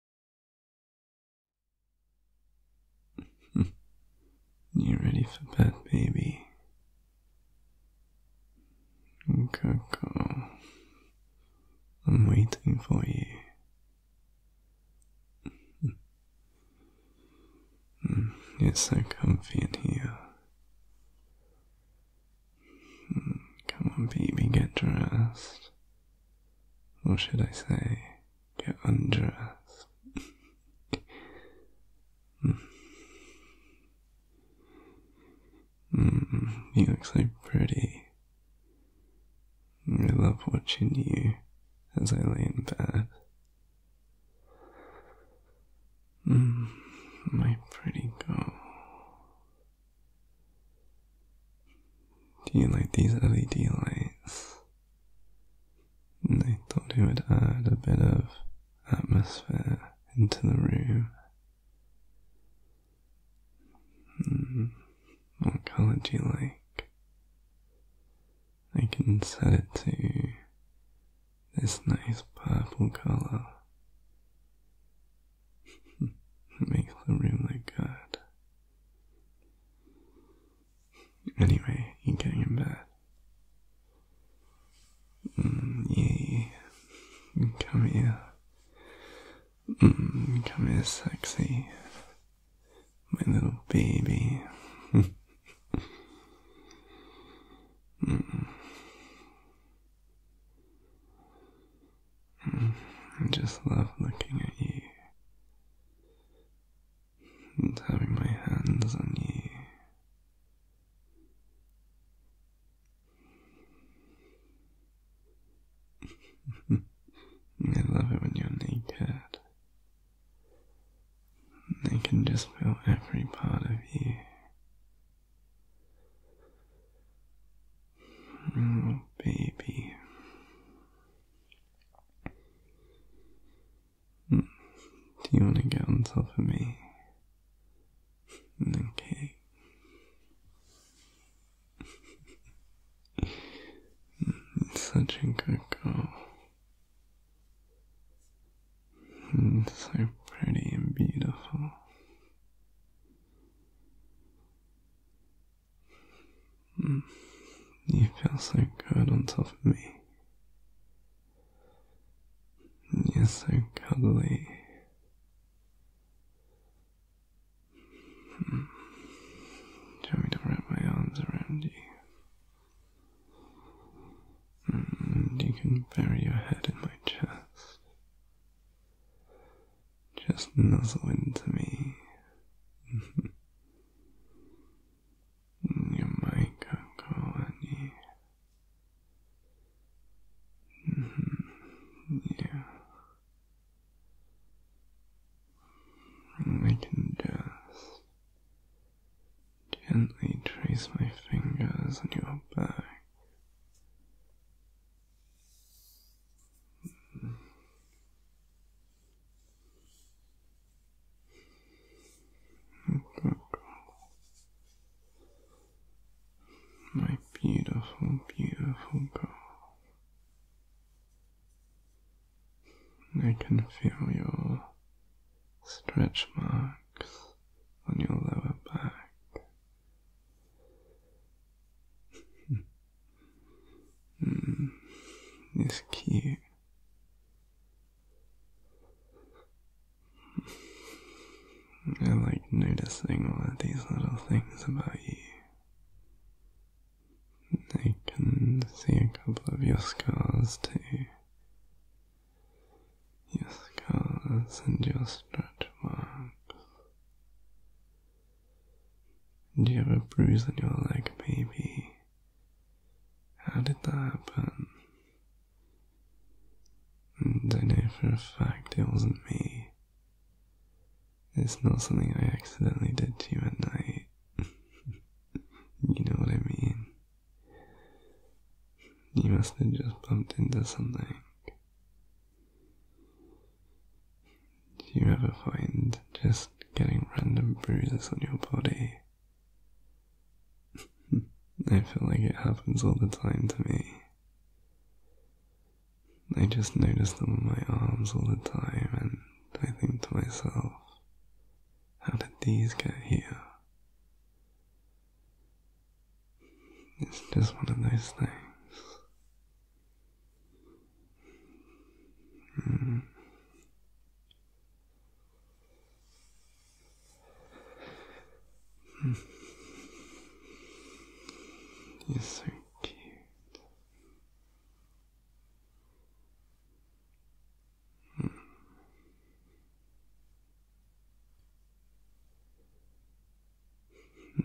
you ready for bed, baby? Coco, I'm waiting for you. It's so comfy in here. Hmm, come on, baby, get dressed. What should I say, get undressed. mm. you look so pretty. I love watching you as I lay in bed. Mm, my pretty girl. Do you like these LED lights? I thought it would add a bit of atmosphere into the room. Hmm. What color do you like? I can set it to this nice purple color. Make the room look good. Anyway, you're getting in bed. Mm, yeah. Come here. Mm, come here, sexy. My little baby. Mm. I just love looking at you and having my hands on you. I love it when you're naked. I can just feel every part of you. Mm, baby. Mm, do you want to get on top of me? Mm, okay. Such a good girl. So pretty and beautiful. Hmm. You feel so good on top of me. You're so cuddly. Hmm. Do me to wrap my arms around you? Hmm. you can bury your head in my chest. Just nuzzle into me. you might go on yeah. I can just gently trace my fingers on your back my beautiful, beautiful girl. I can feel your stretch marks relax on your lower back. mm, it's cute. I like noticing all of these little things about you. I can see a couple of your scars too your scars and your stretch marks. Do you have a bruise on your leg, baby? How did that happen? And I know for a fact it wasn't me. It's not something I accidentally did to you at night. you know what I mean? You must have just bumped into something. Do you ever find just getting random bruises on your body? I feel like it happens all the time to me. I just notice them on my arms all the time, and I think to myself, how did these get here? It's just one of those things. Hmm. Hmm. You're so cute. Hmm.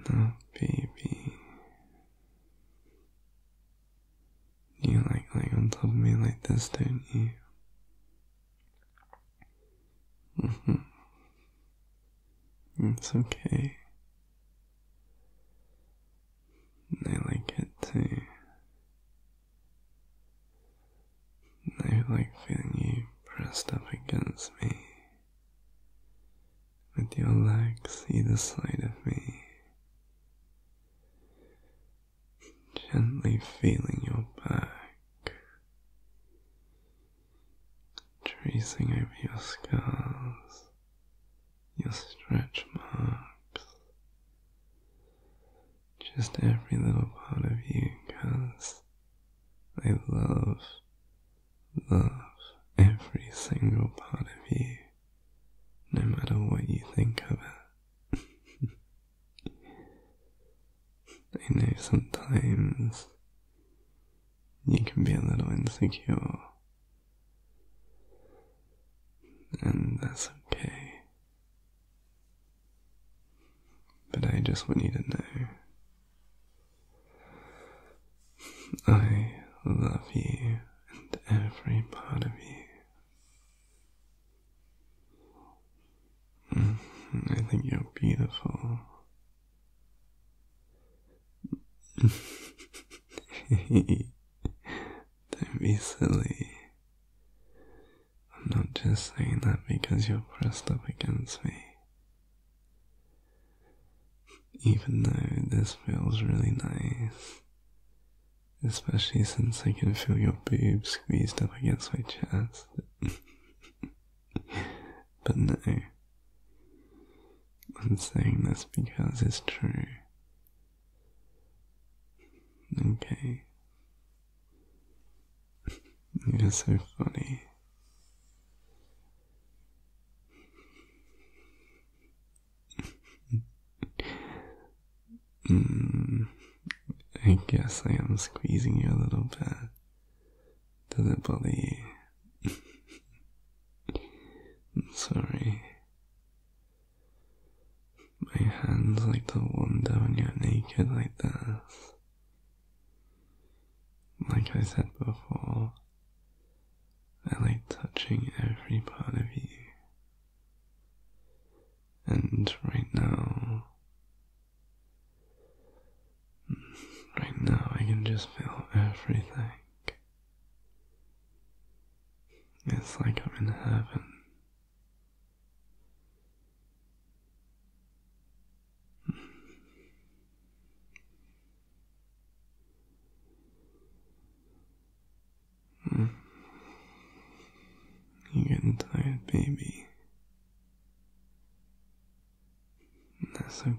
No, baby. You like like on top of me like this, don't you? Mm-hmm. It's okay. I like it too. I like feeling you pressed up against me, with your legs either side of me, gently feeling your back, tracing over your scars, your stretch marks, just every little part of you because I love, love every single part of you, no matter what you think of it. I know sometimes you can be a little insecure and that's okay. But I just want you to know I love you and every part of you. Mm-hmm. I think you're beautiful. Don't be silly. I'm not just saying that because you're pressed up against me. Even though this feels really nice, especially since I can feel your boobs squeezed up against my chest. but no, I'm saying this because it's true. Okay. You're so funny. Hmm. I guess I am squeezing you a little bit. Does it bother you? I'm sorry. My hands like to wander when you're naked like this. Like I said before, I like touching every part of you. And right now, right now I can just feel everything. It's like I'm in heaven. You're getting tired, baby. That's okay.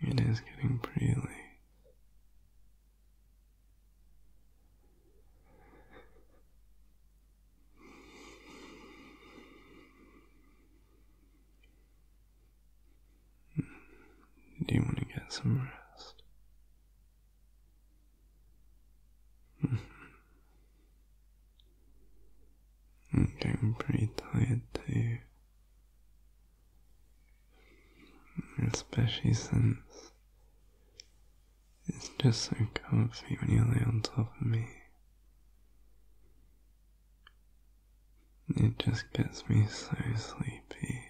It is getting pretty late. Do you want to get some rest? I'm getting pretty tired too. Especially since it's just so comfy when you lay on top of me. It just gets me so sleepy.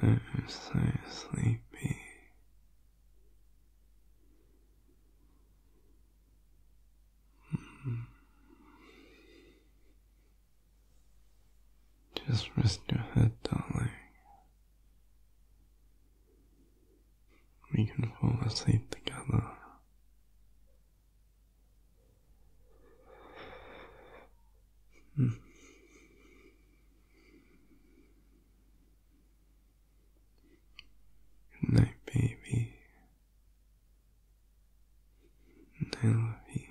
So, so sleepy. Hmm. Just rest your head, darling. We can fall asleep together. Hmm. Good night, baby. I love you.